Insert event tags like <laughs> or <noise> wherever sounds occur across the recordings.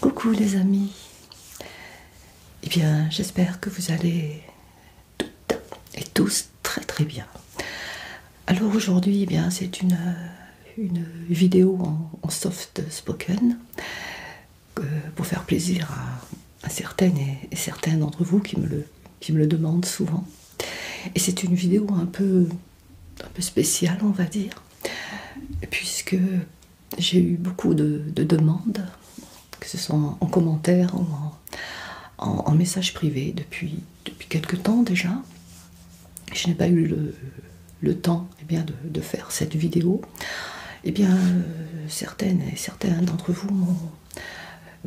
Coucou les amis. Et eh bien, j'espère que vous allez toutes et tous très très bien. Alors aujourd'hui, eh bien, c'est une, vidéo en, soft spoken euh, pour faire plaisir à, certaines et, certains d'entre vous qui me, le, qui me le demandent souvent. Et c'est une vidéo un peu un peu spéciale, on va dire, puisque j'ai eu beaucoup de, demandes, que ce soit en, commentaire ou en, message privé depuis, depuis quelques temps déjà. Je n'ai pas eu le, temps eh bien, de, faire cette vidéo. Et eh bien, euh, certaines et certains d'entre vous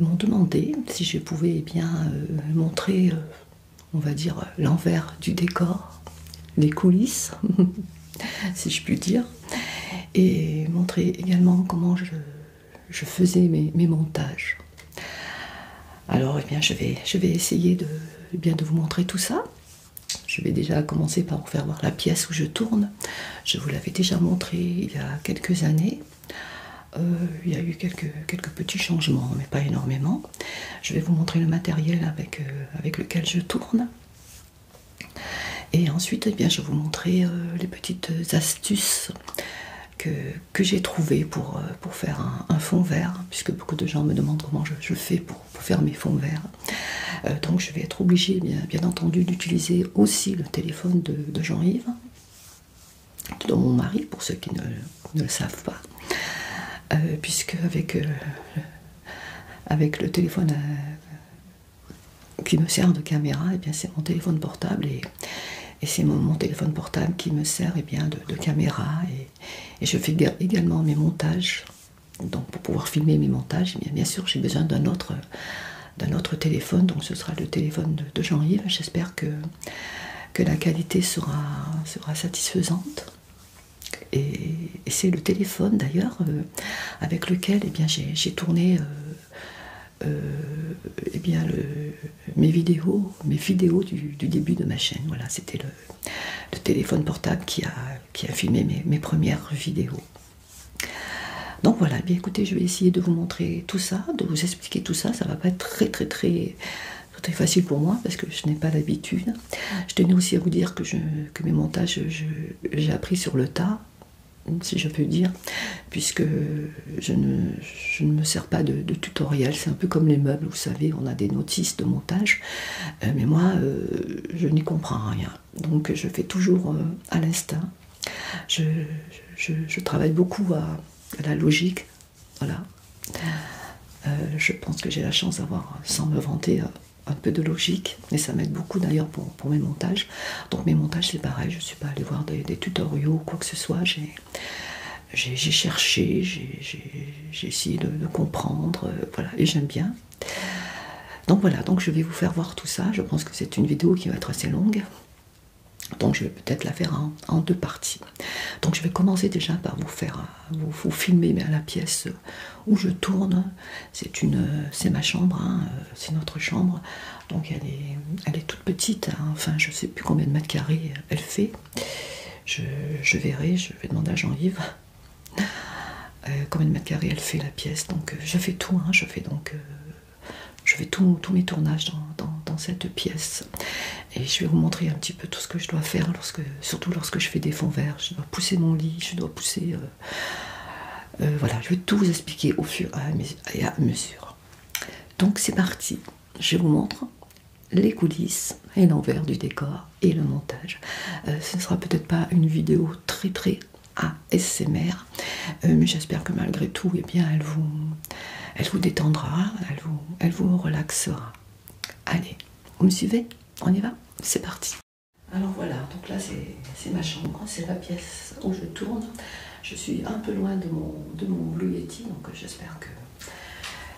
m'ont demandé si je pouvais eh bien, euh, montrer, euh, on va dire, l'envers du décor, les coulisses <laughs> <laughs> si je puis dire, et montrer également comment je, faisais mes, montages. Alors, eh bien, je vais, je vais essayer de, eh bien, de vous montrer tout ça. Je vais déjà commencer par vous faire voir la pièce où je tourne. Je vous l'avais déjà montré il y a quelques années. Euh, il y a eu quelques, quelques petits changements, mais pas énormément. Je vais vous montrer le matériel avec, euh, avec lequel je tourne. Et ensuite, eh bien, je vais vous montrer euh, les petites astuces que, j'ai trouvées pour, euh, pour faire un, fond vert, puisque beaucoup de gens me demandent comment je, fais pour, faire mes fonds verts. Euh, donc je vais être obligée, bien, entendu, d'utiliser aussi le téléphone de, Jean-Yves, de mon mari, pour ceux qui ne, le savent pas, puisque avec avec le téléphone euh, qui me sert de caméra, et eh bien c'est mon téléphone portable et, c'est mon, téléphone portable qui me sert et eh bien, de, caméra et, je fais également mes montages. Donc pour pouvoir filmer mes montages, eh bien, sûr j'ai besoin d'un autre, autre téléphone, donc ce sera le téléphone de, janvier Jean-Yves. J'espère que, la qualité sera satisfaisante. Et, c'est le téléphone d'ailleurs euh, avec lequel eh bien, j'ai tourné euh, euh, eh bien, mes vidéos, mes vidéos du, début de ma chaîne. Voilà, c'était le, téléphone portable qui a, filmé mes, premières vidéos. Donc voilà, eh bien écoutez, je vais essayer de vous montrer tout ça, de vous expliquer tout ça. Ça ne va pas être très très très très facile pour moi parce que je n'ai pas l'habitude. Je tenais aussi à vous dire que, mes montages, j'ai appris sur le tas, si je peux dire, puisque je ne, me sers pas de, tutoriels, tutoriel. C'est un peu comme les meubles, vous savez, on a des notices de montage, euh, mais moi, euh, je n'y comprends rien. Donc, je fais toujours euh, à l'instinct. Je, travaille beaucoup à, la logique. Voilà. je pense que j'ai la chance d'avoir, sans me vanter, un peu de logique et ça m'aide beaucoup d'ailleurs pour, mes montages. Donc mes montages c'est pareil, je ne suis pas allée voir des, tutoriaux quoi que ce soit. J'ai cherché, j'ai essayé de, comprendre, euh, voilà, et j'aime bien. Donc voilà, donc je vais vous faire voir tout ça. Je pense que c'est une vidéo qui va être assez longue. Donc je vais peut-être la faire en, en deux parties. Donc je vais commencer déjà par vous faire vous, filmez à la pièce où je tourne. C'est ma chambre, hein, euh, c'est notre chambre. Donc elle est, elle est toute petite, hein. enfin je sais plus combien de mètres carrés elle fait. Je, verrai, je vais demander à Jean-Yves euh, combien de mètres carrés elle fait la pièce. Donc euh, je fais tout, hein. je fais donc... je tous mes tournages dans, dans cette pièce et je vais vous montrer un petit peu tout ce que je dois faire lorsque surtout lorsque je fais des fonds verts. Je dois pousser mon lit, je dois pousser. Euh, euh, voilà, je vais tout vous expliquer au fur et à mesure. Donc c'est parti, je vous montre les coulisses et l'envers du décor et le montage. Euh, ce ne sera peut-être pas une vidéo très très ASMR, mais j'espère que malgré tout, eh bien, elle vous, elle vous détendra, elle elle vous relaxera. Allez, vous me suivez On y va C'est parti alors voilà, donc là c'est ma chambre, hein, c'est la pièce où je tourne. Je suis un peu loin de mon, de mon donc euh, j'espère que,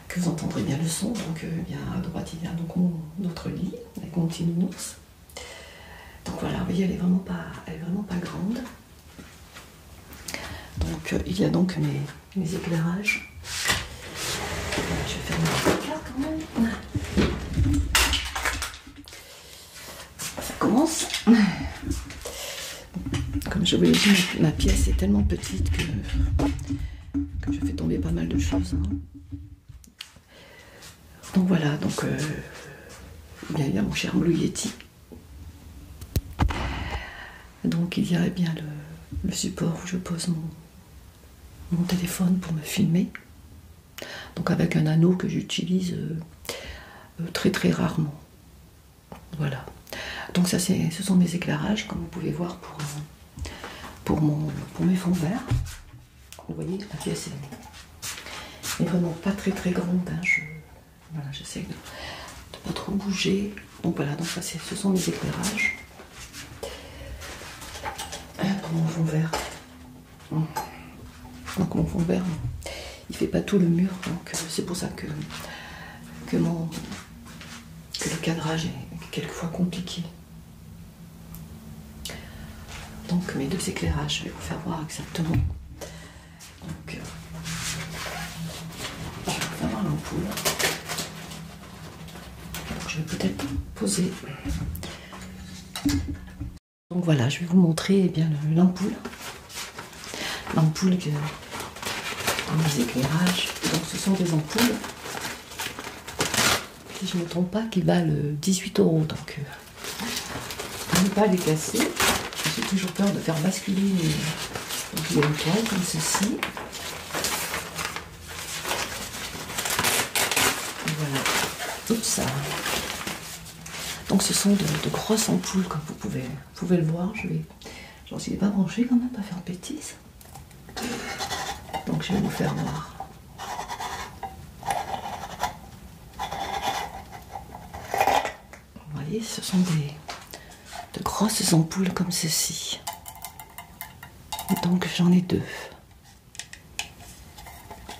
que, vous entendrez bien le son. Donc bien euh, à droite il y a donc notre lit la mon Donc voilà, vous voyez, elle est vraiment pas, elle est vraiment pas grande. Donc euh, il y a donc mes, éclairages. Je vais faire quand même. Ça commence. Comme je vous l'ai dit, ma, pièce est tellement petite que, je fais tomber pas mal de choses. Hein. Donc voilà, donc il y a mon cher Blue Donc il y a bien le support où je pose mon, mon téléphone pour me filmer. Donc avec un anneau que j'utilise euh, euh, très très rarement. Voilà. Donc ça c'est ce sont mes éclairages, comme vous pouvez voir pour, euh, pour, mon, pour mes fonds verts. Vous voyez, la pièce est, vraiment pas très très grande. Hein, voilà, j'essaie de pas trop bouger. Donc voilà, donc ça ce sont mes éclairages. Ah, mon fond vert. Donc mon fond vert, il fait pas tout le mur, donc euh, c'est pour ça que, que, mon, le cadrage est quelquefois compliqué. Donc mes deux éclairages, je vais vous faire voir exactement. Euh, je vais Je vais peut-être poser donc voilà, je vais vous montrer eh l'ampoule. L'ampoule dans les éclairages. Donc ce sont des ampoules, si je ne me trompe pas, qui valent 18 euh, euros. Donc euh, à ne pas les casser. J'ai toujours peur de faire basculer les, donc, comme ceci. Voilà, tout ça. Donc ce sont de, grosses ampoules comme vous pouvez, pouvez le voir. Je vais, j'en suis pas branché quand même, pas faire de bêtises. Donc je vais vous faire voir. Vous voyez, ce sont des de grosses ampoules comme ceci. Donc j'en ai deux.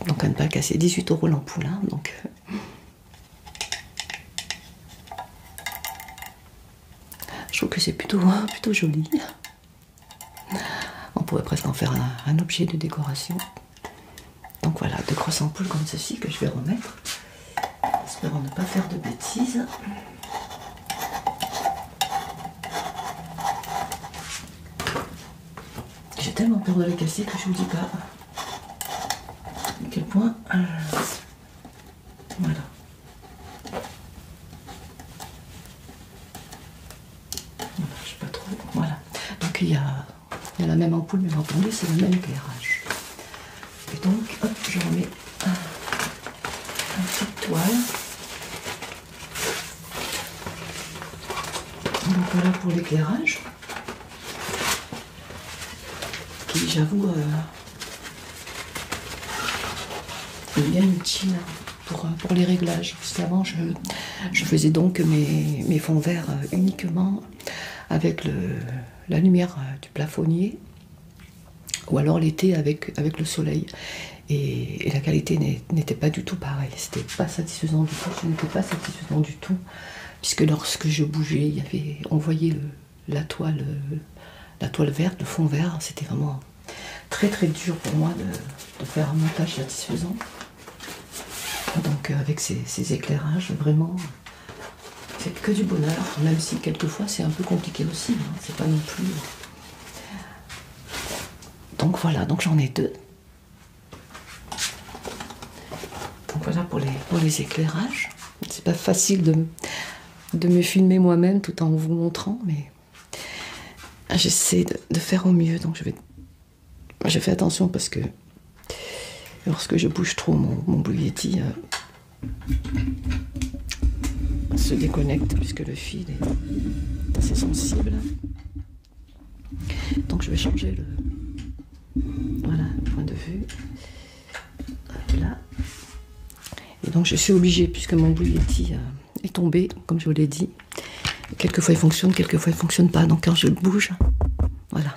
Donc à ne pas casser, 18 euros l'ampoule. Hein, donc euh. je trouve que c'est plutôt, <laughs> plutôt joli. On pourrait presque en faire un, objet de décoration. Donc voilà, deux grosses ampoules comme ceci que je vais remettre. j'espère ne pas faire de bêtises. J'ai tellement peur de la casser que je vous dis pas à quel point. Euh, voilà. Je sais pas trop. Voilà. Donc il y a, la même ampoule, mais entendu, c'est le même éclairage. Et donc, hop, je remets un, petit de toile. Donc voilà pour l'éclairage. Qui, j'avoue, est euh, bien utile euh, pour, les réglages. avant, je, faisais donc mes, fonds verts euh, uniquement avec le, la lumière du plafonnier ou alors l'été avec, avec le soleil et, la qualité n'était pas du tout pareille. C'était pas satisfaisant du tout. Ce n'était pas satisfaisant du tout, puisque lorsque je bougeais, on voyait la toile, la toile verte, le fond vert. C'était vraiment très très dur pour moi de, faire un montage satisfaisant. Donc euh, avec ces, éclairages, vraiment, c'est que du bonheur, même si quelquefois c'est un peu compliqué aussi. Hein. C'est pas non plus donc voilà, donc j'en ai deux. Donc voilà pour les, pour les éclairages. C'est pas facile de, me filmer moi-même tout en vous montrant, mais j'essaie de, faire au mieux. Donc je vais, fais attention parce que lorsque je bouge trop mon, mon bouilletti euh, se déconnecte puisque le fil est assez sensible. Donc je vais changer le point de vue. là. Et donc je suis obligée, puisque mon bruit euh, est tombé, comme je vous l'ai dit. Quelquefois il fonctionne, quelquefois il ne fonctionne pas. Donc quand je le bouge, voilà.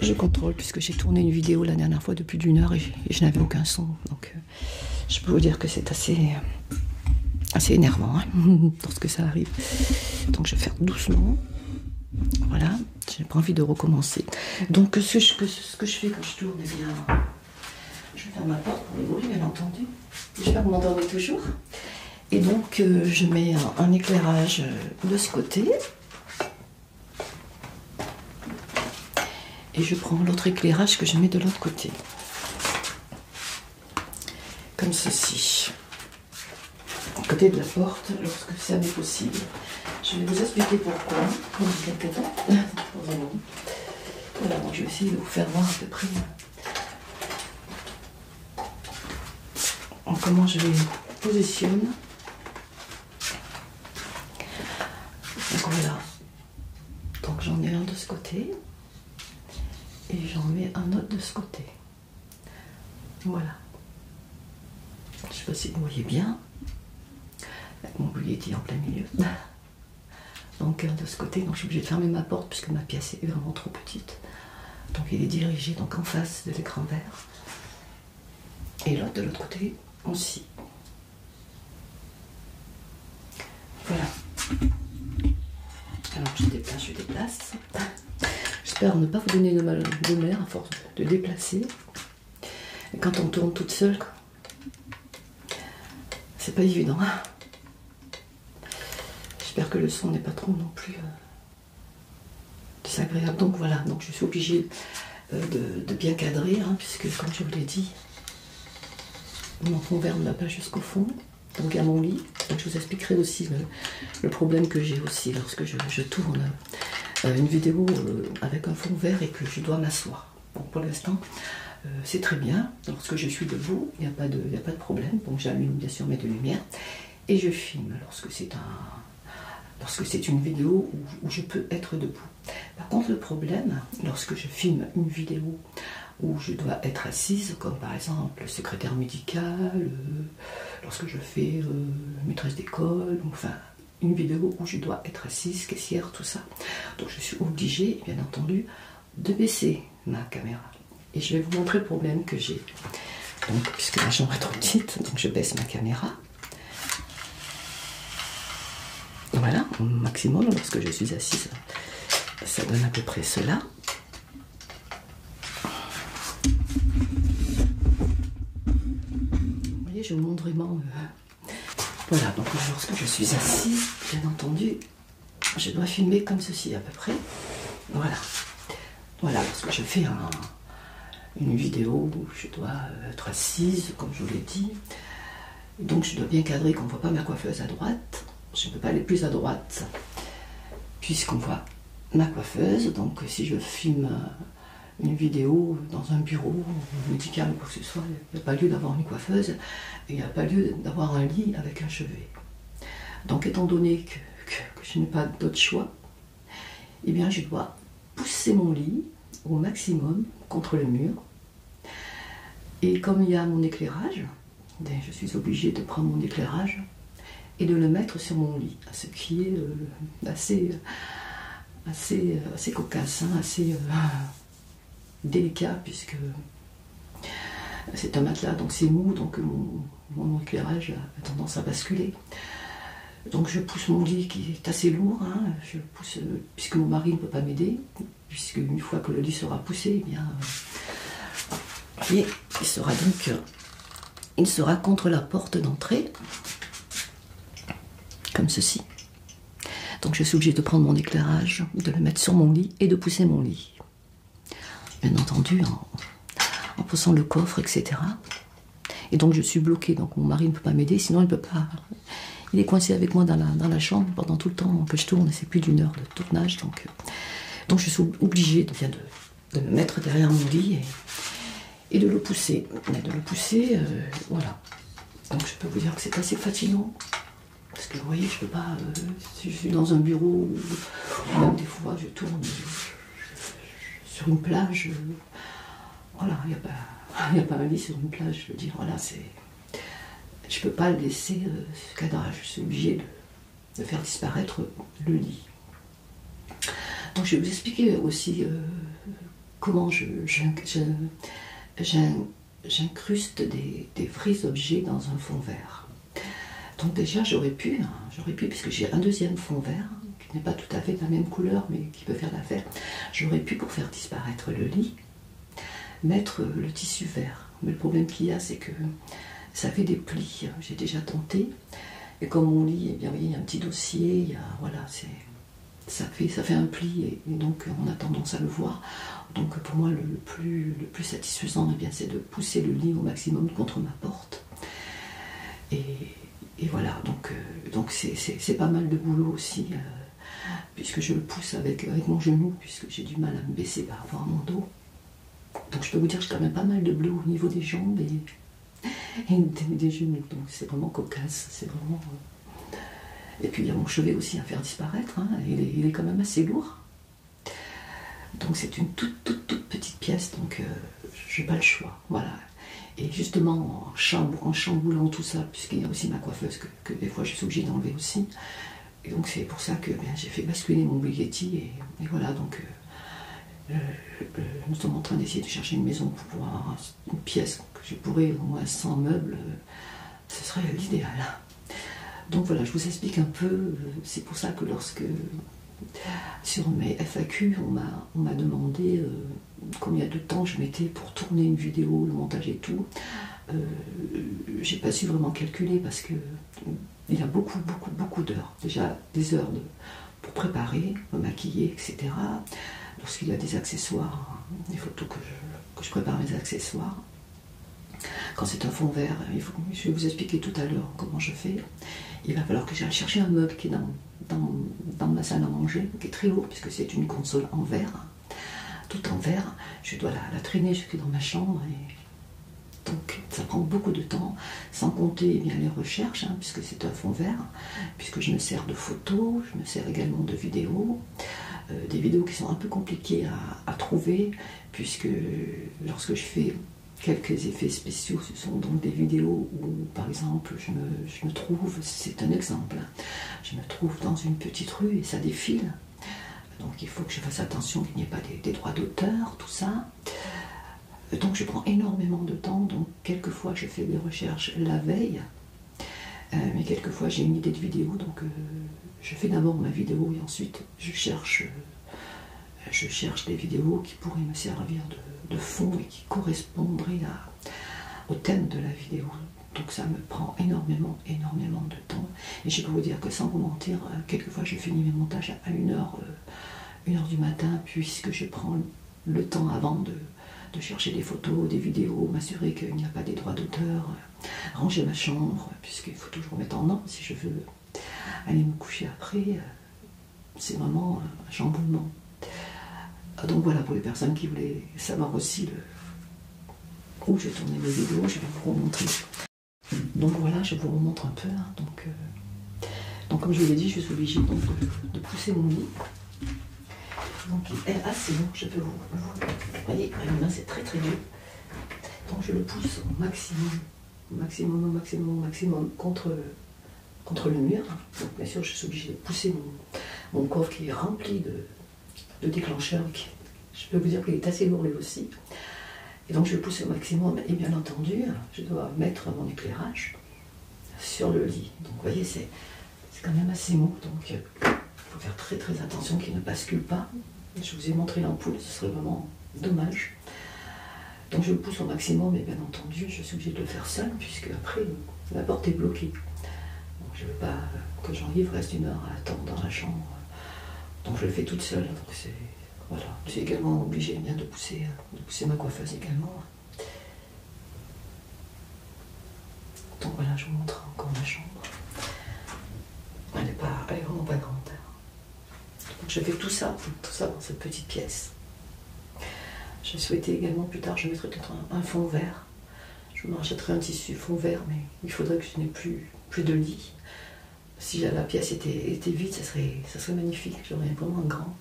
Je contrôle puisque j'ai tourné une vidéo la dernière fois de plus d'une heure et je, je n'avais aucun son. Donc euh, je peux vous dire que c'est assez, euh, assez énervant hein, lorsque <laughs> ça arrive. Donc je vais faire doucement. Voilà, j'ai pas envie de recommencer. Donc ce que, je, fais quand je tourne, eh bien, je ferme ma porte pour les bruits, bien entendu. Je vais m'endormir toujours. Et donc euh, je mets un éclairage euh, de ce côté et je prends l'autre éclairage que je mets de l'autre côté. Comme ceci. côté de la porte, lorsque ça m'est possible. Je vais vous expliquer pourquoi. Voilà, je vais essayer de vous faire voir à peu près euh, comment je les positionne. Donc voilà, donc j'en ai un de ce côté et j'en mets un autre de ce côté. Voilà. Je ne sais pas si vous voyez bien. Mon boulier est en plein milieu. <laughs> Donc un de ce côté, donc je suis obligée de fermer ma porte puisque ma pièce est vraiment trop petite. Donc il est dirigé donc en face de l'écran vert. Et l'autre de l'autre côté aussi. Voilà. Alors je déplace, je déplace. J'espère ne pas vous donner de mal de mer à force de déplacer. quand on tourne toute seule, c'est pas évident. Hein. J'espère que le son n'est pas trop non plus euh, désagréable. Donc voilà, donc je suis obligée euh, de, bien cadrer, hein, puisque comme je vous l'ai dit, mon fond vert ne va pas jusqu'au fond, donc à mon lit. je vous expliquerai aussi euh, le, problème que j'ai aussi lorsque je, tourne euh, une vidéo euh, avec un fond vert et que je dois m'asseoir. pour l'instant, c'est très bien. Lorsque je suis debout, il n'y a, pas de, problème. Donc j'allume bien sûr mes deux lumières et je filme lorsque c'est un c'est une vidéo où, je peux être debout. Par contre, le problème, lorsque je filme une vidéo où je dois être assise, comme par exemple secrétaire médical, euh, lorsque je fais euh, maîtresse d'école, enfin une vidéo où je dois être assise, caissière, tout ça. Donc je suis obligée, bien entendu, de baisser ma caméra. Et je vais vous montrer le problème que j'ai. Donc, puisque la chambre est trop petite, donc je baisse ma caméra. Voilà, au maximum lorsque je suis assise, ça donne à peu près cela. Vous voyez, je montre vraiment. Euh, voilà, donc lorsque je suis assise, bien entendu, je dois filmer comme ceci à peu près. Voilà. Voilà, lorsque je fais une vidéo où je dois euh, être assise, comme je vous l'ai dit, donc je dois bien cadrer qu'on ne voit pas ma coiffeuse à droite. Je ne peux pas aller plus à droite puisqu'on voit ma coiffeuse. Donc si je filme euh, une vidéo dans un bureau médical ou quoi que ce soit, il n'y a pas lieu d'avoir une coiffeuse et il n'y a pas lieu d'avoir un lit avec un chevet. Donc étant donné que, que je n'ai pas d'autre choix, eh bien je dois pousser mon lit au maximum contre le mur. Et comme il y a mon éclairage, ben, je suis obligée de prendre mon éclairage et de le mettre sur mon lit, ce qui est euh, assez, assez, assez cocasse, hein, assez euh, délicat, puisque c'est un matelas, donc c'est mou, donc mon, éclairage a tendance à basculer. Donc je pousse mon lit qui est assez lourd, hein, je pousse, euh, puisque mon mari ne peut pas m'aider, puisque une fois que le lit sera poussé, eh bien, euh, il sera donc, euh, il sera contre la porte d'entrée, comme ceci. Donc je suis obligée de prendre mon éclairage, de le mettre sur mon lit et de pousser mon lit. Bien entendu, en, poussant le coffre, etc. Et donc je suis bloquée, donc mon mari ne peut pas m'aider, sinon il peut pas. Il est coincé avec moi dans la, chambre pendant tout le temps que je tourne, c'est plus d'une heure tournage. Donc, euh, donc je suis obligée de, de me mettre derrière mon lit et, de le pousser. de le pousser, euh, voilà. Donc je peux vous dire que c'est assez fatigant. Parce que vous voyez, je peux pas. Euh, si je suis dans un bureau, des fois je tourne sur une plage. voilà, il n'y a, <laughs> a, pas ma vie sur une plage, je veux dire, voilà, c'est. Je ne peux pas laisser euh, ce cadrage, je suis obligée de, faire disparaître le lit. Donc je vais vous expliquer aussi euh, comment j'incruste des, vrais objets dans un fond vert. Donc déjà j'aurais pu, hein, j'aurais pu, puisque j'ai un deuxième fond vert, qui n'est pas tout à fait de la même couleur, mais qui peut faire l'affaire, j'aurais pu pour faire disparaître le lit, mettre le tissu vert. Mais le problème qu'il y a, c'est que ça fait des plis. J'ai déjà tenté. Et comme on lit, eh il y a un petit dossier, il ça fait, ça fait un pli et, donc on a tendance à le voir. Donc pour moi, le, plus, le plus satisfaisant, eh c'est de pousser le lit au maximum contre ma porte. Et, voilà, donc euh, donc c'est pas mal de boulot aussi. Euh, puisque je le pousse avec, mon genou, puisque j'ai du mal à me baisser par bah, rapport à mon dos. Donc je peux vous dire, que j'ai quand même pas mal de bleu au niveau des jambes et, des, genoux. Donc c'est vraiment cocasse, c'est vraiment... Euh. Et puis il y a mon chevet aussi à faire disparaître, hein. il, est, quand même assez lourd. Donc c'est une toute, toute, toute petite pièce, donc euh, je n'ai pas le choix, voilà. Et justement, en, chamboulant, en tout ça, puisqu'il y a aussi ma coiffeuse que des fois je suis obligée d'enlever aussi, et donc c'est pour ça que ben, j'ai fait basculer mon Bugatti et, voilà donc euh, euh, euh, nous sommes en train d'essayer de chercher une maison pour pouvoir une pièce que je pourrais au moins sans meubles, ce serait l'idéal. Donc voilà, je vous explique un peu, c'est pour ça que lorsque sur mes FAQ, on m'a demandé combien de temps je mettais pour tourner une vidéo, le montage et tout. Euh, j'ai pas su vraiment calculer parce que il y a beaucoup, beaucoup, beaucoup d'heures. Déjà des heures pour préparer, me maquiller, etc. Lorsqu'il y a des accessoires, il faut que je, prépare mes accessoires. Quand c'est un fond vert, je vais vous expliquer tout à l'heure comment je fais. Il va falloir que j'aille chercher un meuble qui est dans, dans ma salle à manger, qui est très haut, puisque c'est une console en verre tout en vert, Je dois la, traîner jusque dans ma chambre. Et... Donc ça prend beaucoup de temps, sans compter bien, les recherches, hein, puisque c'est un fond vert, puisque je me sers de photos, je me sers également de vidéos, euh, des vidéos qui sont un peu compliquées à, trouver, puisque lorsque je fais quelques effets spéciaux. Ce sont donc des vidéos où, par exemple, je me trouve, c'est un exemple, hein, je me trouve dans une petite rue et ça défile. Donc il faut que je fasse attention qu'il n'y ait pas des, droits d'auteur, tout ça. Donc je prends énormément de temps, donc quelquefois je fais des recherches la veille, euh, mais quelquefois j'ai une idée de vidéo, donc euh, je fais d'abord ma vidéo et ensuite je cherche, euh, des vidéos qui pourraient me servir de, fond et qui correspondraient au thème de la vidéo. Donc ça me prend énormément énormément, de temps. Et je peux vous dire que sans vous mentir, euh, quelquefois je finis mes montages à 1h, euh, du matin, puisque je prends le temps avant de, chercher des photos, des vidéos, m'assurer qu'il n'y a pas des droits d'auteur, euh, ranger ma chambre, puisqu'il faut toujours mettre en ordre si je veux aller me coucher après. C'est vraiment un chamboulement. Donc voilà, pour les personnes qui voulaient savoir aussi où j'ai tourné mes vidéos, je vais vous montrer. Donc voilà, je vous remontre un peu. Hein. donc, euh, donc, comme je vous l'ai dit, je suis obligé de, pousser mon lit. Donc il est assez bon, je peux vous. Vous voyez, c'est très très dur. Donc je le pousse au maximum, au maximum, au maximum, au maximum contre, contre le mur. bien sûr, je suis obligé de pousser mon, mon qui est rempli de, le déclencheur je peux vous dire qu'il est assez lourd lui aussi. Et donc je pousse au maximum et bien entendu, je dois mettre mon éclairage sur le lit. Donc vous voyez, c'est quand même assez mou, donc euh, il faut faire très très attention qu'il ne bascule pas. Je vous ai montré l'ampoule, ce serait vraiment dommage. Donc je le pousse au maximum, et bien entendu, je suis obligée de le faire seul puisque après, la porte est bloquée. Donc je ne veux pas que Jean-Yves reste une heure à attendre dans la chambre donc je le fais toute seule. Donc c'est voilà. Je suis également obligée de pousser, pousser ma coiffeuse également. Donc voilà, je vous montre encore ma chambre. Elle n'est pas, vraiment pas grande. Hein. Donc je fais tout ça, tout ça dans cette petite pièce. Je souhaitais également plus tard, je mettrais peut-être un, fond vert. Je me un tissu fond vert, mais il faudrait que je n'ai plus, plus de lit si la, pièce était, était, vide, ça serait, magnifique. J'aurais vraiment un grand,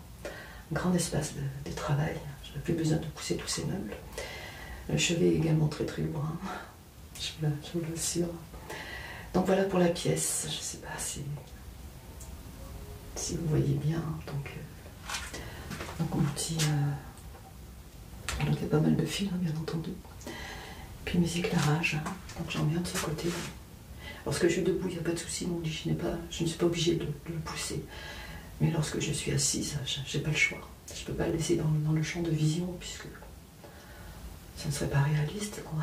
grand espace de, travail. Je n'aurais plus besoin de pousser tous ces meubles. Le chevet est également très très lourd, hein. Je vous, l'assure. Donc voilà pour la pièce. Je ne sais pas si, vous voyez bien. Donc, euh, on il y a pas mal de fils, hein, bien entendu. Puis mes éclairages, donc j'en viens de ce côté. Lorsque je suis debout, il n'y a pas de souci, mon lit, je, pas, je ne suis pas obligée de, le pousser. Mais lorsque je suis assise, je n'ai pas le choix. Je ne peux pas le laisser dans, le champ de vision, puisque ça ne serait pas réaliste, quoi.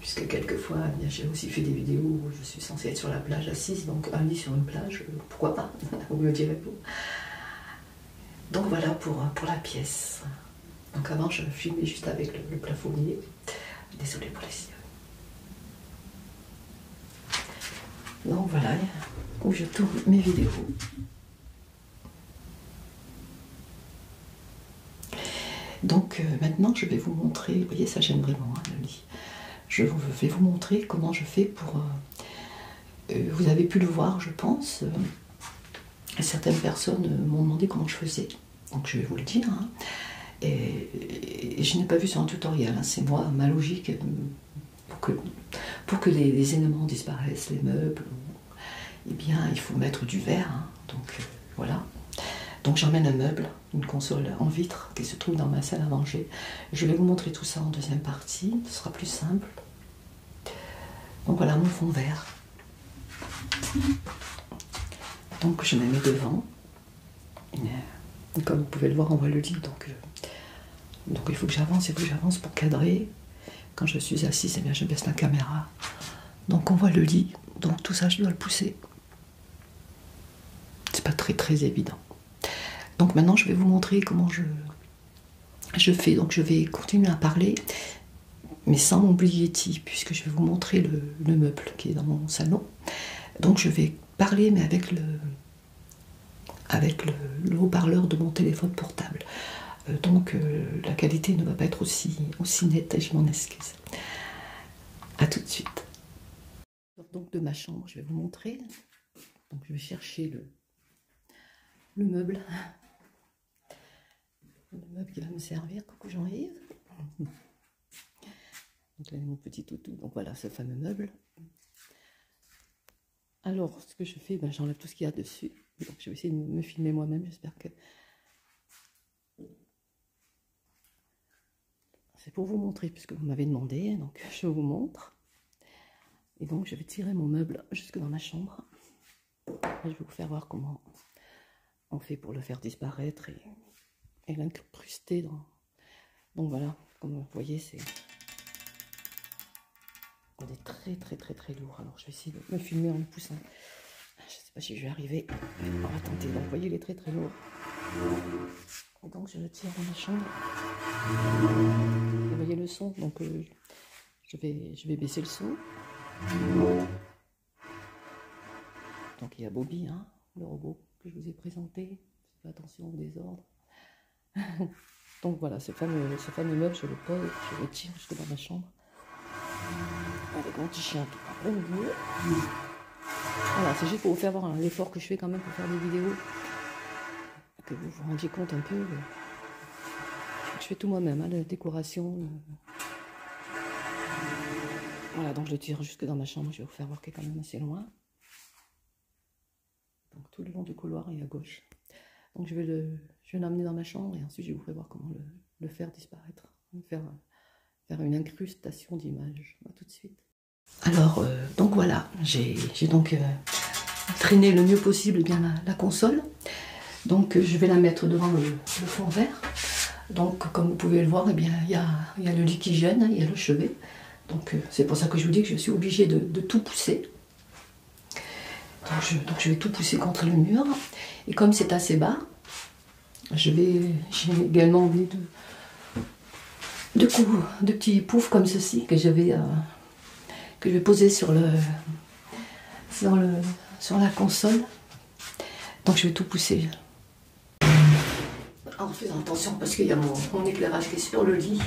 Puisque quelquefois, j'ai aussi fait des vidéos où je suis censée être sur la plage assise, donc un lit sur une plage, euh, pourquoi pas <laughs> Vous me direz pourquoi donc voilà pour, euh, pour la pièce. Donc avant je filmais juste avec le, plafondier. Désolée pour les sillons. Donc voilà où je tourne mes vidéos. Donc euh, maintenant je vais vous montrer, vous voyez ça j'aime vraiment hein, lit. Je vais vous montrer comment je fais pour... Euh, vous avez pu le voir je pense certaines personnes euh, m'ont demandé comment je faisais. Donc je vais vous le dire. Hein. Et, je n'ai pas vu sur un tutoriel. Hein. C'est moi, ma logique euh, pour que, les, éléments disparaissent, les meubles. Eh bien, il faut mettre du verre. Hein. Donc euh, voilà. Donc j'emmène un meuble, une console en vitre qui se trouve dans ma salle à manger. Je vais vous montrer tout ça en deuxième partie. Ce sera plus simple. Donc voilà mon fond vert. Donc je me mets devant. Euh, comme vous pouvez le voir, on voit le lit. Euh, donc, il faut que j'avance, il faut que j'avance pour cadrer. Quand je suis assise, et eh bien, je baisse la caméra. Donc on voit le lit. Donc tout ça, je dois le pousser. C'est pas très très évident. Donc maintenant, je vais vous montrer comment je, je fais donc je vais continuer à parler mais sans mon puisque je vais vous montrer le, meuble qui est dans mon salon donc je vais parler mais avec le avec le, haut-parleur de mon téléphone portable euh, donc euh, la qualité ne va pas être aussi aussi nette et je m'en excuse à tout de suite donc de ma chambre je vais vous montrer donc je vais chercher le le meuble le meuble qui va me servir. Coucou Jean-Yves. <laughs> Donc là, mon petit toutou. Donc voilà, ce fameux meuble. Alors, ce que je fais, ben, j'enlève tout ce qu'il y a dessus. Donc, je vais essayer de me filmer moi-même. J'espère que c'est pour vous montrer, puisque vous m'avez demandé. Donc, je vous montre. Et donc, je vais tirer mon meuble jusque dans ma chambre je vais vous faire voir comment on fait pour le faire disparaître et, l'incrusté. l'incruster dans... Donc voilà, comme vous voyez, c'est... On est très très très très lourd. Alors je vais essayer de me filmer en le poussant. Je sais pas si je vais arriver. On va tenter. Donc vous voyez, il est très très lourd. donc je le tire dans la chambre. Vous voyez le son. Donc euh, je vais, je vais baisser le son. Donc il y a Bobby, hein, le robot que je vous ai présenté. Faites attention au désordre. <laughs> Donc voilà, ce fameux, meuble, je le pose, je le tire jusque dans ma chambre. Avec mon petit chien qui parle Voilà, c'est juste pour vous faire voir hein, l'effort que je fais quand même pour faire des vidéos. Que vous vous rendiez compte un peu je fais tout moi-même, hein, la décoration. Voilà, donc je le tire jusque dans ma chambre. Je vais vous faire voir qu'il est quand même assez loin. Donc tout le long du couloir et à gauche. Donc je vais le, l'emmener dans ma chambre et ensuite je vais vous faire voir comment le, faire disparaître, faire, faire une incrustation d'image. tout de suite. Alors euh, donc voilà, j'ai donc euh, traîné le mieux possible eh bien la console. Donc je vais la mettre devant le, fond vert. Donc comme vous pouvez le voir, eh il y a, le lit qui il y a le chevet. Donc euh, c'est pour ça que je vous dis que je suis obligée de, tout pousser. Donc je, vais tout pousser contre le mur. Et comme c'est assez bas, j'ai également envie de, coups, de petits poufs comme ceci que j'avais. Euh, que je vais poser sur, le, le, sur la console. Donc je vais tout pousser. En faisant attention parce qu'il y a mon, éclairage qui est sur le lit.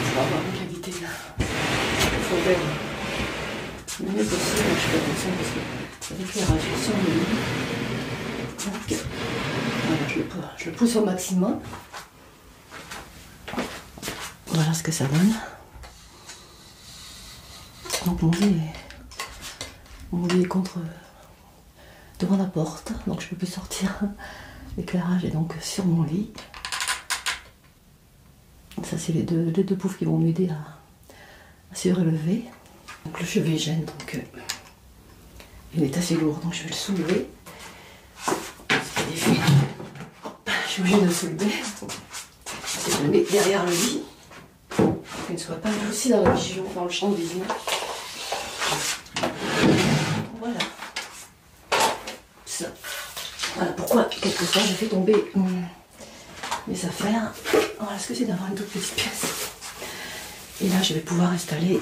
Je vais avoir une qualité là. Il faut le mieux possible, hein, je fais attention parce que l'éclairage est sur le lit. Donc, je je le pousse au maximum. Voilà ce que ça donne. Donc mon lit est, contre euh, devant la porte, donc je peux plus sortir. <laughs> L'éclairage est donc sur mon lit. Ça c'est les deux, poufs qui vont m'aider à, se relever. Donc le chevet gêne, donc euh, il est assez lourd, donc je vais le soulever. Je suis obligée de soulever. Je le mettre derrière le lit. Pour ne soit pas aussi dans la le champ de vision. Voilà. Ça. Voilà pourquoi, quelquefois, j'ai fait tomber mes affaires. Voilà oh, ce que c'est d'avoir une toute petite pièce. Et là, je vais pouvoir installer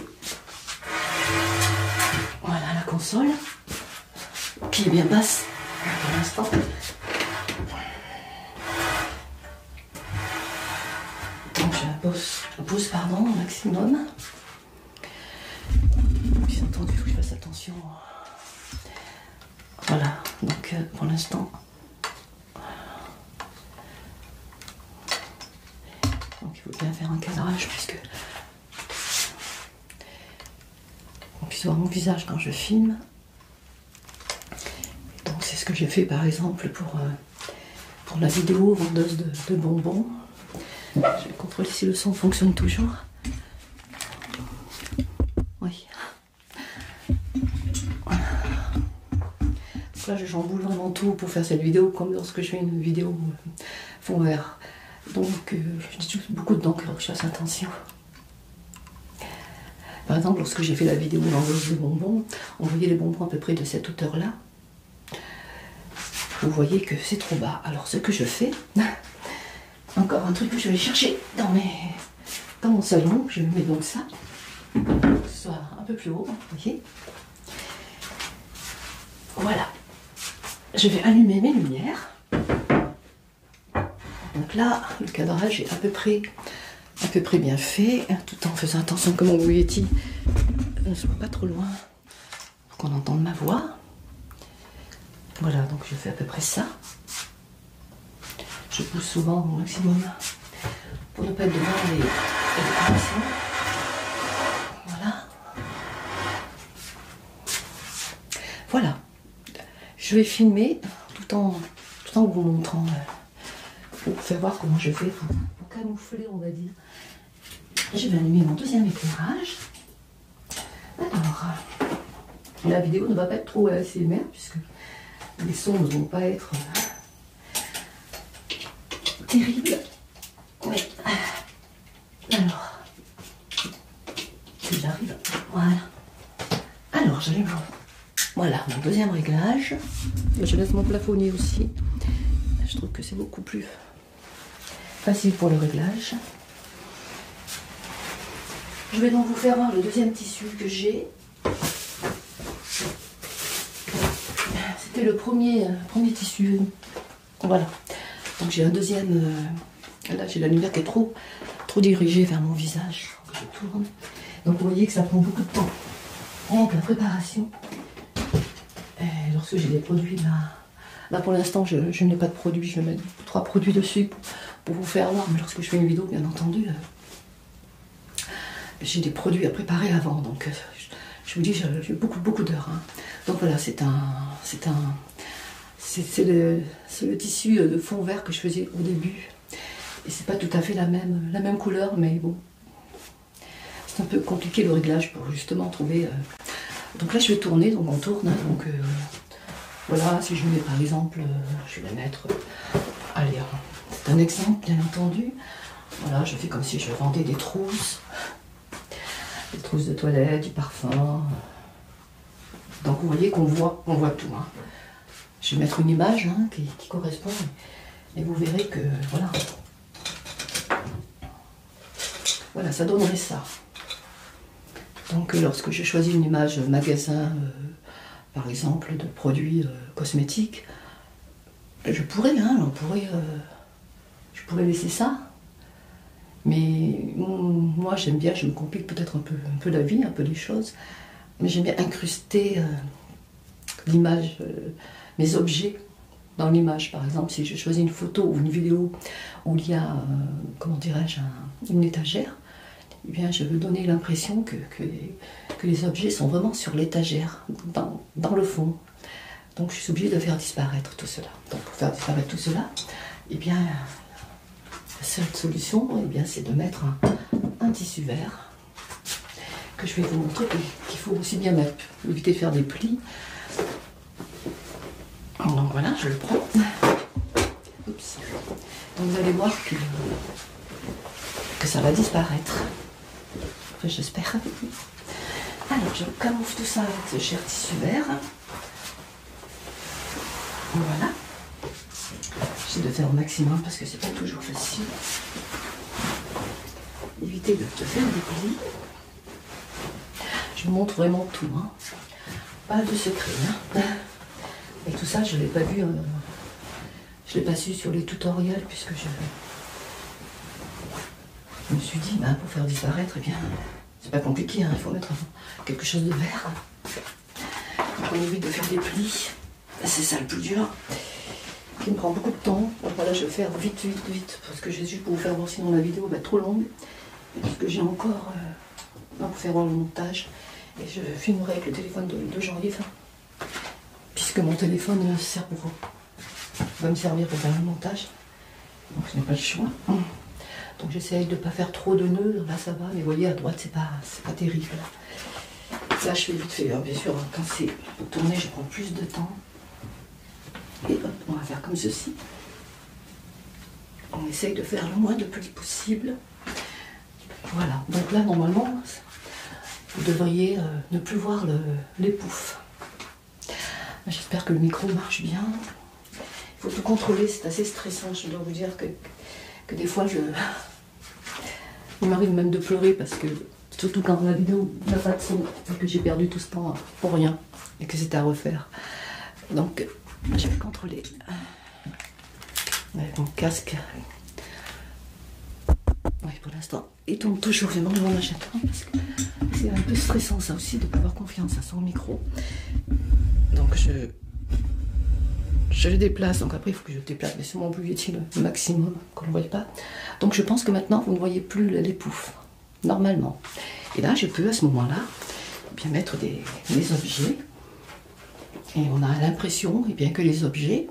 voilà la console qui est bien basse pour l'instant. Donc je la pardon, au maximum. Bien entendu, il faut que je fasse attention. Voilà, donc euh, pour l'instant. Donc il faut bien faire un cadrage puisque on puisse voir mon visage quand je filme. Donc c'est ce que j'ai fait par exemple pour, euh, pour la vidéo vendeuse de, bonbons. Je vais contrôler si le son fonctionne toujours. Oui. Là, je jamboule vraiment tout pour faire cette vidéo, comme lorsque je fais une vidéo euh, Font vert, Donc, euh, je j'utilise beaucoup de dents, il que je fasse attention. Par exemple, lorsque j'ai fait la vidéo l'enveloppe de bonbons, on voyait les bonbons à peu près de cette hauteur-là. Vous voyez que c'est trop bas. Alors, ce que je fais, <laughs> encore un truc que je vais chercher dans, mes... dans mon salon, je mets donc ça, que ce soit un peu plus haut, vous voyez. Voilà. Je vais allumer mes lumières. Donc là, le cadrage est à peu près, bien fait, hein, tout en faisant attention que mon bouletti Ne soit pas trop loin pour qu'on entende ma voix. Voilà, donc je fais à peu près ça. Je pousse souvent au maximum pour ne pas être devant les, Voilà. Voilà je vais filmer tout en, en vous montrant. Euh, pour faire voir comment je fais pour, camoufler, on va dire. Je vais allumer mon deuxième éclairage. Alors, euh, la vidéo ne va pas être trop assez ASMR puisque les sons ne vont pas être euh, terribles. Alors, Voilà. Alors, j'allais vous. Voilà, mon deuxième réglage. Je laisse mon plafonnier aussi. Je trouve que c'est beaucoup plus facile pour le réglage. Je vais donc vous faire voir le deuxième tissu que j'ai. C'était le premier, euh, tissu. Voilà. Donc j'ai un deuxième. Euh, Là, j'ai la lumière qui est trop, trop dirigée vers mon visage. Je tourne. Donc, vous voyez que ça prend beaucoup de temps. Donc la préparation. lorsque j'ai des produits, là, bah, là bah, pour l'instant, je, n'ai pas de produits. Je vais mettre trois produits dessus pour, vous faire voir. Mais lorsque je fais une vidéo, bien entendu, euh, j'ai des produits à préparer avant. Donc, euh, je, vous dis, j'ai beaucoup, beaucoup d'heures. Hein. Donc, voilà, c'est un, c'est un, c'est le, tissu euh, de fond vert que je faisais au début. Et c'est pas tout à fait la même, la même couleur, mais bon. C'est un peu compliqué le réglage pour justement trouver. Euh. Donc là, je vais tourner, donc on tourne. Hein, donc euh, voilà, si je mets par exemple, je vais mettre. allez, hein. c'est un exemple, bien entendu. Voilà, je fais comme si je vendais des trousses. Des trousses de toilette, du parfum. Donc vous voyez qu'on voit, on voit tout. Hein. Je vais mettre une image hein, qui, correspond et vous verrez que voilà. Voilà, ça donnerait ça. Donc lorsque j'ai choisi une image magasin, euh, par exemple, de produits euh, cosmétiques, je pourrais, hein, euh, je pourrais laisser ça, mais mm, moi, j'aime bien, je me complique peut-être un peu, la vie, un peu les choses, mais j'aime bien incruster euh, l'image, euh, mes objets dans l'image. Par exemple, si je choisis une photo ou une vidéo où il y a, euh, comment dirais-je, une étagère, eh bien, je veux donner l'impression que, les objets sont vraiment sur l'étagère, dans, le fond. Donc, je suis obligée de faire disparaître tout cela. Donc, pour faire disparaître tout cela, eh bien, la seule solution, eh bien, c'est de mettre un, tissu vert que je vais vous montrer qu'il faut aussi bien mettre, éviter de faire des plis. Donc voilà, je le prends. Donc vous allez voir que, ça va disparaître. J'espère. Alors je camoufle tout ça avec ce cher tissu vert. Voilà. J'essaie de faire au maximum parce que c'est pas toujours facile. Éviter de te faire des plis. Je montre vraiment tout. Hein. Pas de secret. Hein. Et tout ça, je ne l'ai pas vu. je euh, je l'ai pas su sur les tutoriels puisque je. me suis dit, bah, pour faire disparaître, eh bien, c'est pas compliqué, hein, il faut mettre quelque chose de vert. on évite de faire des plis. C'est ça le plus dur, qui me prend beaucoup de temps. voilà, je vais faire vite, vite, vite, parce que j'ai juste pour vous faire voir sinon la vidéo va être trop longue. Parce que j'ai encore euh, à faire le montage. Et je filmerai avec le téléphone de, jean janvier, hein. puisque mon téléphone euh, sert pour, va me servir pour faire le montage. Donc je n'ai pas le choix. Donc j'essaye de ne pas faire trop de nœuds. Là ça va, mais vous voyez à droite c'est pas, pas terrible. Ça, je fais vite fait, hein, bien sûr, hein. quand c'est tourné, je prends plus de temps. Et hop, on va faire comme ceci. On essaye de faire le moins de plis possible. Voilà, donc là normalement, vous devriez euh, ne plus voir les poufs. J'espère que le micro marche bien. Il faut tout contrôler, c'est assez stressant. Je dois vous dire que, que des fois, je... il m'arrive même de pleurer parce que, surtout quand la vidéo n'a pas de son, que j'ai perdu tout ce temps pour rien et que c'était à refaire. Donc, je vais contrôler. Avec mon casque. Oui, pour l'instant, il tombe toujours vraiment devant ma chatte. Hein, parce c'est un peu stressant, ça aussi, de ne pas avoir confiance à hein, son micro. Donc, je je le déplace, donc après il faut que je déplace, mais c'est plus est le maximum qu'on ne voit pas. Donc je pense que maintenant vous ne voyez plus les poufs, normalement. Et là je peux à ce moment-là bien mettre des, objets. Et on a l'impression eh bien, que les objets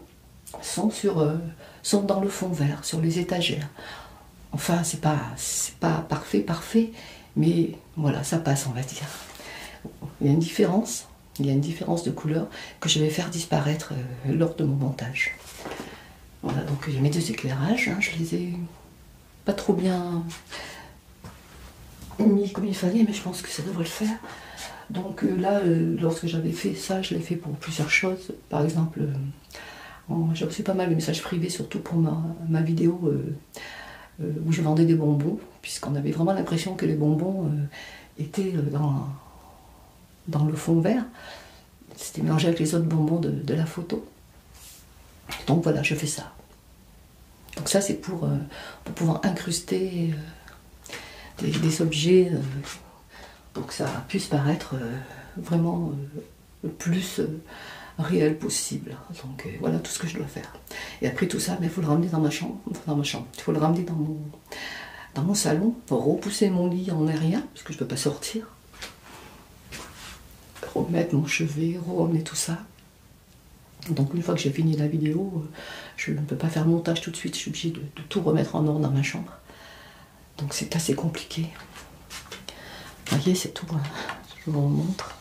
sont, sur, euh, sont dans le fond vert, sur les étagères. Enfin, c'est pas, pas parfait, parfait, mais voilà, ça passe, on va dire. Il y a une différence, il y a une différence de couleur que je vais faire disparaître euh, lors de mon montage. Voilà, donc il y a mes deux éclairages, hein, je les ai pas trop bien mis comme il fallait, mais je pense que ça devrait le faire. Donc euh, là, euh, lorsque j'avais fait ça, je l'ai fait pour plusieurs choses. Par exemple, j'ai reçu pas mal de messages privés, surtout pour ma vidéo euh, où je vendais des bonbons, puisqu'on avait vraiment l'impression que les bonbons euh, étaient euh, dans, le fond vert. C'était mélangé avec les autres bonbons de, la photo. Donc voilà, je fais ça. Donc ça, c'est pour, pouvoir incruster des, des, objets pour que ça puisse paraître vraiment le plus réel possible. Donc voilà tout ce que je dois faire. Et après tout ça, il ben, faut le ramener dans ma chambre, dans ma chambre, il faut le ramener dans mon, salon repousser mon lit en aérien, parce que je ne peux pas sortir. Remettre mon chevet, remettre tout ça. Donc une fois que j'ai fini la vidéo, euh, je ne peux pas faire le montage tout de suite, je suis obligée de, tout remettre en ordre dans ma chambre. Donc c'est assez compliqué. Vous voyez, c'est tout. Hein. Je vous montre.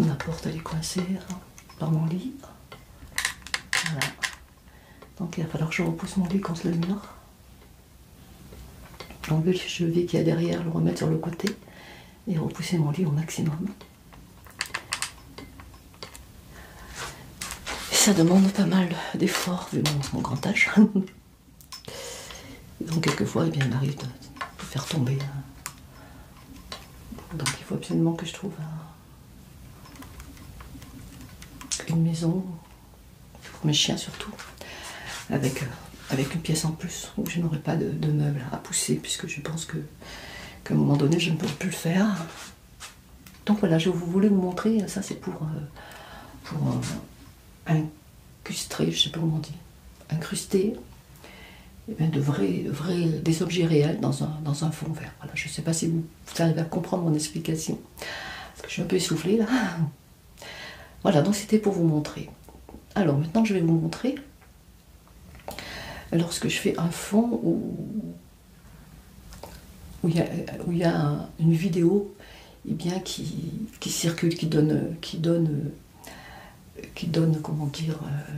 Ma porte elle est coincée hein, par mon lit. Donc il va falloir que je repousse mon lit contre le mur. L'angle le chevet qu'il y a derrière, le remettre sur le côté et repousser mon lit au maximum. ça demande pas mal d'efforts vu mon grand âge. <laughs> donc quelquefois, eh bien, il m'arrive de, faire tomber. Hein. Donc il faut absolument que je trouve une maison, pour mes chiens surtout, avec, euh, avec une pièce en plus où je n'aurai pas de, meubles à pousser puisque je pense que qu'à un moment donné je ne pourrai plus le faire. Donc voilà, je vous voulais vous montrer, ça c'est pour, euh, pour euh, incrusté je sais pas comment on dit, incrusté eh de des objets réels dans un, fond vert. je ne sais pas si vous, arrivez à comprendre mon explication, parce que je suis un peu essoufflée là. Voilà, donc c'était pour vous montrer. Alors maintenant, je vais vous montrer lorsque je fais un fond où, il y a, une vidéo et eh bien, qui, circule, circulent, qui donne, qui donne, qui donne comment dire, euh,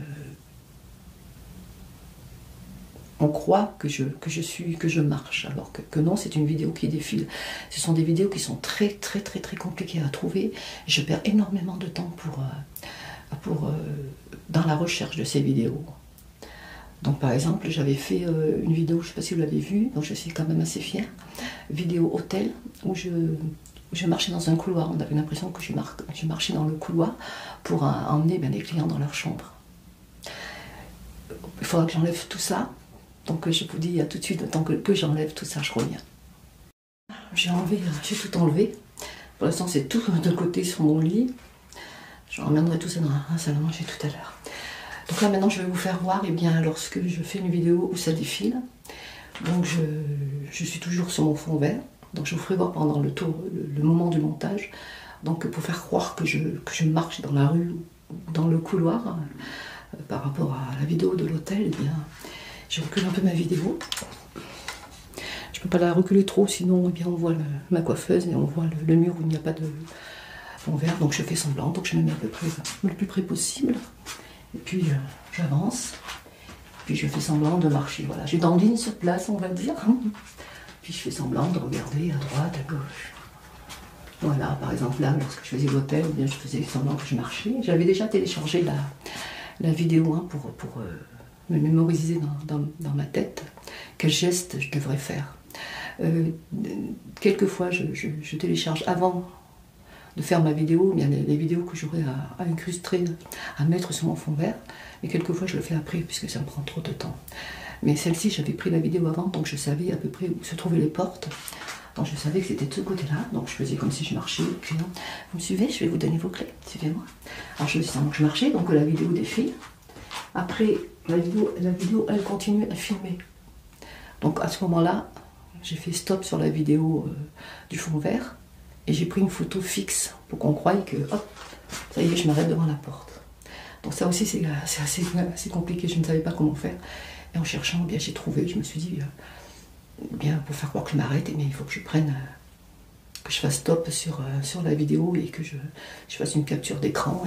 on croit que je, que je suis, que je marche, alors que, non, c'est une vidéo qui défile. Ce sont des vidéos qui sont très, très, très, très compliquées à trouver. Je perds énormément de temps pour, euh, pour, euh, dans la recherche de ces vidéos. Donc, par exemple, j'avais fait une vidéo, je ne sais pas si vous l'avez vue, donc je suis quand même assez fière vidéo hôtel où je, marchais dans un couloir. On avait l'impression que je, marchais dans le couloir pour euh, emmener les ben, clients dans leur chambre. Il faudra que j'enlève tout ça. Donc euh, je vous dis à tout de suite, tant que, j'enlève tout ça, je reviens. J'ai enlevé, j'ai tout enlevé. Pour l'instant, c'est tout de côté sur mon lit. Je ramènerai tout ça dans un salon, j'ai tout à l'heure. Donc là maintenant je vais vous faire voir et eh bien, lorsque je fais une vidéo où ça défile. Donc je, suis toujours sur mon fond vert. Donc je vous ferai voir pendant le, tour, le, moment du montage. Donc pour faire croire que je, marche dans la rue ou dans le couloir euh, par rapport à la vidéo de l'hôtel, eh bien je recule un peu ma vidéo. Je ne peux pas la reculer trop, sinon eh bien, on voit ma coiffeuse et on voit le, mur où il n'y a pas de fond vert. Donc je fais semblant, donc je me mets à peu près le plus près possible. Et puis euh, j'avance. Puis je fais semblant de marcher. Voilà, dandine sur place, on va dire. Puis je fais semblant de regarder à droite, à gauche. Voilà, par exemple, là, lorsque je faisais l'hôtel, eh bien je faisais semblant que je marchais. J'avais déjà téléchargé la, vidéo hein, pour, euh, me mémoriser dans, ma tête quel geste je devrais faire. Euh, Quelques fois, je télécharge avant de faire ma vidéo, il y a des vidéos que j'aurais à, incrustrer, à mettre sur mon fond vert. Mais quelquefois, je le fais après, puisque ça me prend trop de temps. Mais celle-ci, j'avais pris la vidéo avant, donc je savais à peu près où se trouvaient les portes. Donc je savais que c'était de ce côté-là, donc je faisais comme si je marchais, hein. vous me suivez, je vais vous donner vos clés, suivez-moi. Alors je faisais ça, donc je marchais, donc la vidéo des filles, Après, la vidéo, la vidéo, elle continue à filmer. Donc à ce moment-là, j'ai fait stop sur la vidéo euh, du fond vert et j'ai pris une photo fixe pour qu'on croie que hop, ça y est, je m'arrête devant la porte. Donc ça aussi, c'est euh, assez, compliqué, je ne savais pas comment faire. Et en cherchant, eh bien j'ai trouvé, je me suis dit, euh, bien pour faire croire que je m'arrête, mais eh il faut que je prenne, que je fasse stop sur, la vidéo et que je, fasse une capture d'écran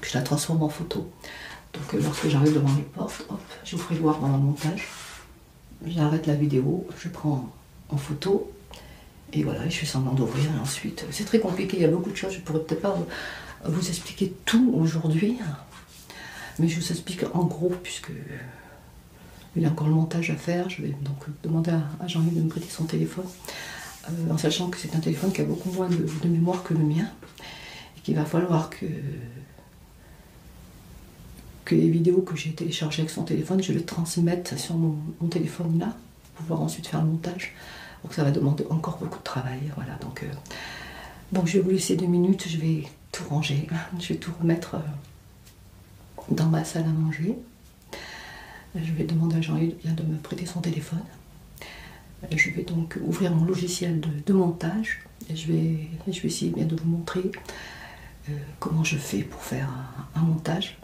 que je la transforme en photo. Donc euh, lorsque j'arrive devant les portes, hop, je vous ferai voir pendant le montage. J'arrête la vidéo, je prends en photo et voilà, je fais semblant d'ouvrir. Ensuite, euh, c'est très compliqué, il y a beaucoup de choses. Je pourrais peut-être pas vous expliquer tout aujourd'hui, hein. mais je vous explique en gros puisque euh, il y a encore le montage à faire. Je vais donc demander à Jean-Yves de me prêter son téléphone, en sachant que c'est un téléphone qui a beaucoup moins de mémoire que le mien. Et qu'il va falloir que, les vidéos que j'ai téléchargées avec son téléphone, je les transmette sur mon, téléphone là, pour pouvoir ensuite faire le montage. Donc ça va demander encore beaucoup de travail. Voilà, donc euh, je vais vous laisser deux minutes, je vais tout ranger, je vais tout remettre euh, dans ma salle à manger. Je vais demander à Jean-Yves de me prêter son téléphone. Je vais donc ouvrir mon logiciel de montage je vais, je vais essayer bien de vous montrer euh, comment je fais pour faire un, montage.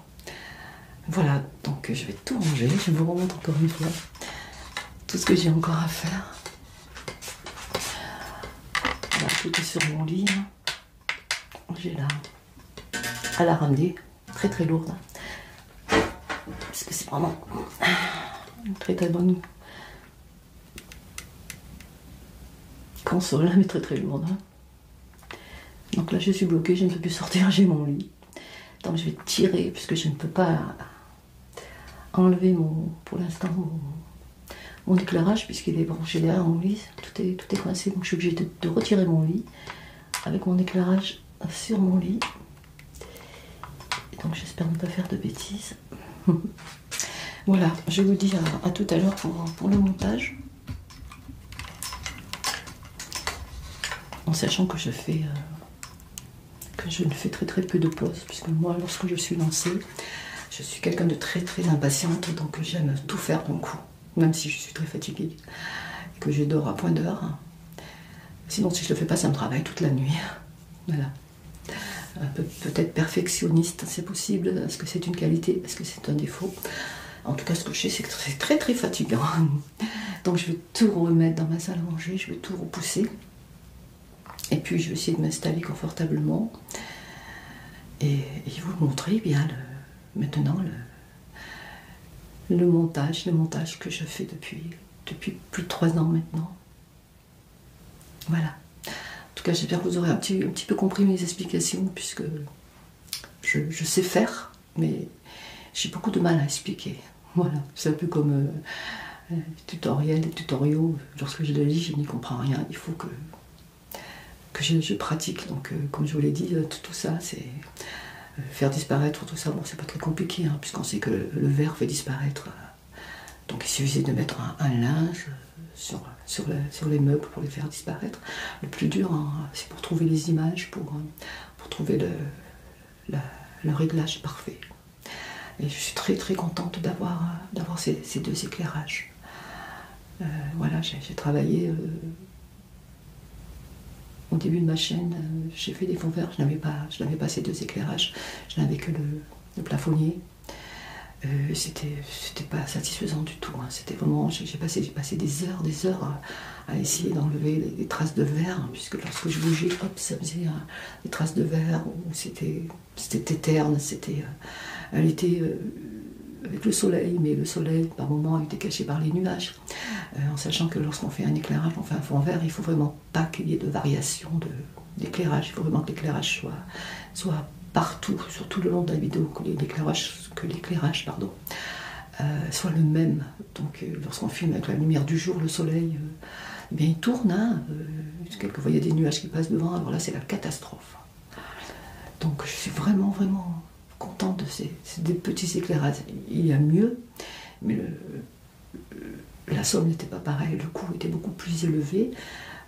Voilà, donc je vais tout ranger. Je vous remonte encore une fois tout ce que j'ai encore à faire. tout est sur mon lit. Hein. J'ai à la ramener, très très lourde. Hein. Parce que c'est vraiment très très bonne console, mais très très lourde. Hein. Donc là, je suis bloquée, je ne peux plus sortir, j'ai mon lit. Donc je vais tirer, puisque je ne peux pas enlever mon, pour l'instant mon, éclairage, puisqu'il est branché derrière mon lit. Tout est, tout coincé, donc je suis obligée de retirer mon lit avec mon éclairage sur mon lit. Donc j'espère ne pas faire de bêtises. <laughs> voilà, je vous dis à, tout à l'heure pour, le montage. En sachant que je fais euh, que je ne fais très très peu de pauses, puisque moi lorsque je suis lancée, je suis quelqu'un de très très impatiente, donc j'aime tout faire d'un coup, même si je suis très fatiguée et que je dors à point d'heure. Sinon si je le fais pas, ça me travaille toute la nuit. <laughs> Voilà. Peut-être perfectionniste, c'est possible. Est-ce que c'est une qualité Est-ce que c'est un défaut En tout cas, ce que je sais, c'est que c'est très très fatigant. <laughs> Donc je vais tout remettre dans ma salle à manger, je vais tout repousser. Et puis je vais essayer de m'installer confortablement et, vous montrer eh bien maintenant le, le montage, le montage que je fais depuis, depuis plus de trois ans maintenant. Voilà. En tout cas, j'espère que vous aurez un petit, peu compris mes explications, puisque je, sais faire, mais j'ai beaucoup de mal à expliquer. <laughs> Voilà, c'est un peu comme euh, euh, tutoriel, les tutoriels, tutoriaux. Lorsque je les lis, je n'y comprends rien. Il faut que, que je, pratique. Donc, euh, comme je vous l'ai dit, tout, ça, c'est faire disparaître tout ça. Bon, c'est pas très compliqué, hein, puisqu'on sait que le, le verre fait disparaître donc il suffisait de mettre un, linge sur, les meubles pour les faire disparaître. Le plus dur, hein, c'est pour trouver les images, pour, euh, trouver le, réglage parfait. Et je suis très très contente d'avoir ces, deux éclairages. Euh, voilà, j'ai travaillé euh, au début de ma chaîne, j'ai fait des fonds verts, je n'avais pas, pas, ces deux éclairages, je n'avais que le, le plafonnier. Euh, c'était pas satisfaisant du tout. Hein. C'était vraiment, j'ai passé, des heures, des heures à, essayer d'enlever les, traces de verre, hein, puisque lorsque je bougeais, hop, ça faisait hein, des traces de verre, c'était éterne, c'était. Euh, elle était euh, avec le soleil, mais le soleil par moments était caché par les nuages, euh, en sachant que lorsqu'on fait un éclairage, on fait un fond vert, il faut vraiment pas qu'il y ait de variation d'éclairage. Il faut vraiment que l'éclairage soit, partout, surtout le long de la vidéo, que l'éclairage, euh, soit le même. Donc euh, lorsqu'on filme avec la lumière du jour, le soleil, euh, eh il tourne. Hein, des nuages qui passent devant, alors là c'est la catastrophe. Donc je suis vraiment vraiment contente de ces, petits éclairages. Il y a mieux, mais euh, la somme n'était pas pareille, le coût était beaucoup plus élevé,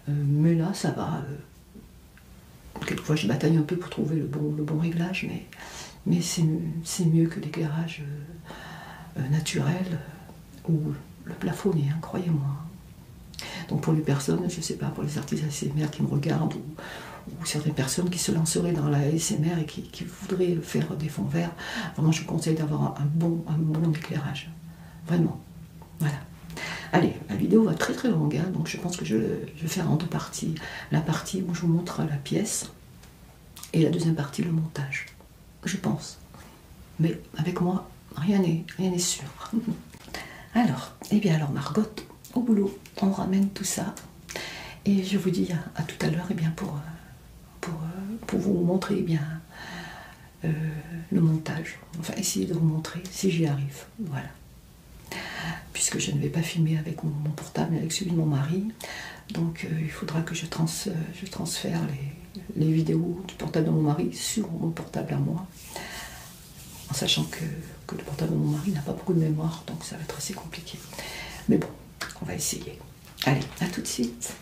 euh, mais là ça va. Euh, quelquefois je bataille un peu pour trouver le bon, réglage, mais, c'est mieux que l'éclairage naturel ou le plafond croyez-moi. Hein. Donc pour les personnes, je ne sais pas, pour les artistes ASMR qui me regardent ou, certaines personnes qui se lanceraient dans la SMR et qui, voudraient faire des fonds verts, vraiment je vous conseille d'avoir un bon éclairage. Vraiment. Voilà. Allez, la vidéo va très très longue, hein, donc je pense que je, vais faire en deux parties. La partie où je vous montre la pièce et la deuxième partie le montage. Je pense. Mais avec moi, rien n'est rien sûr. <laughs> alors, et eh bien alors Margot, au boulot, on ramène tout ça. Et je vous dis à, tout à l'heure et eh bien pour, euh, euh, pour, vous montrer eh bien, euh, le montage. Enfin, essayer de vous montrer si j'y arrive. Voilà. Puisque je ne vais pas filmer avec mon, portable, mais avec celui de mon mari. Donc, euh, il faudra que je, trans, euh, je transfère les, vidéos du portable de mon mari sur mon portable à moi. En sachant que le portable de mon mari n'a pas beaucoup de mémoire, donc ça va être assez compliqué. Mais bon, on va essayer. Allez, à tout de suite.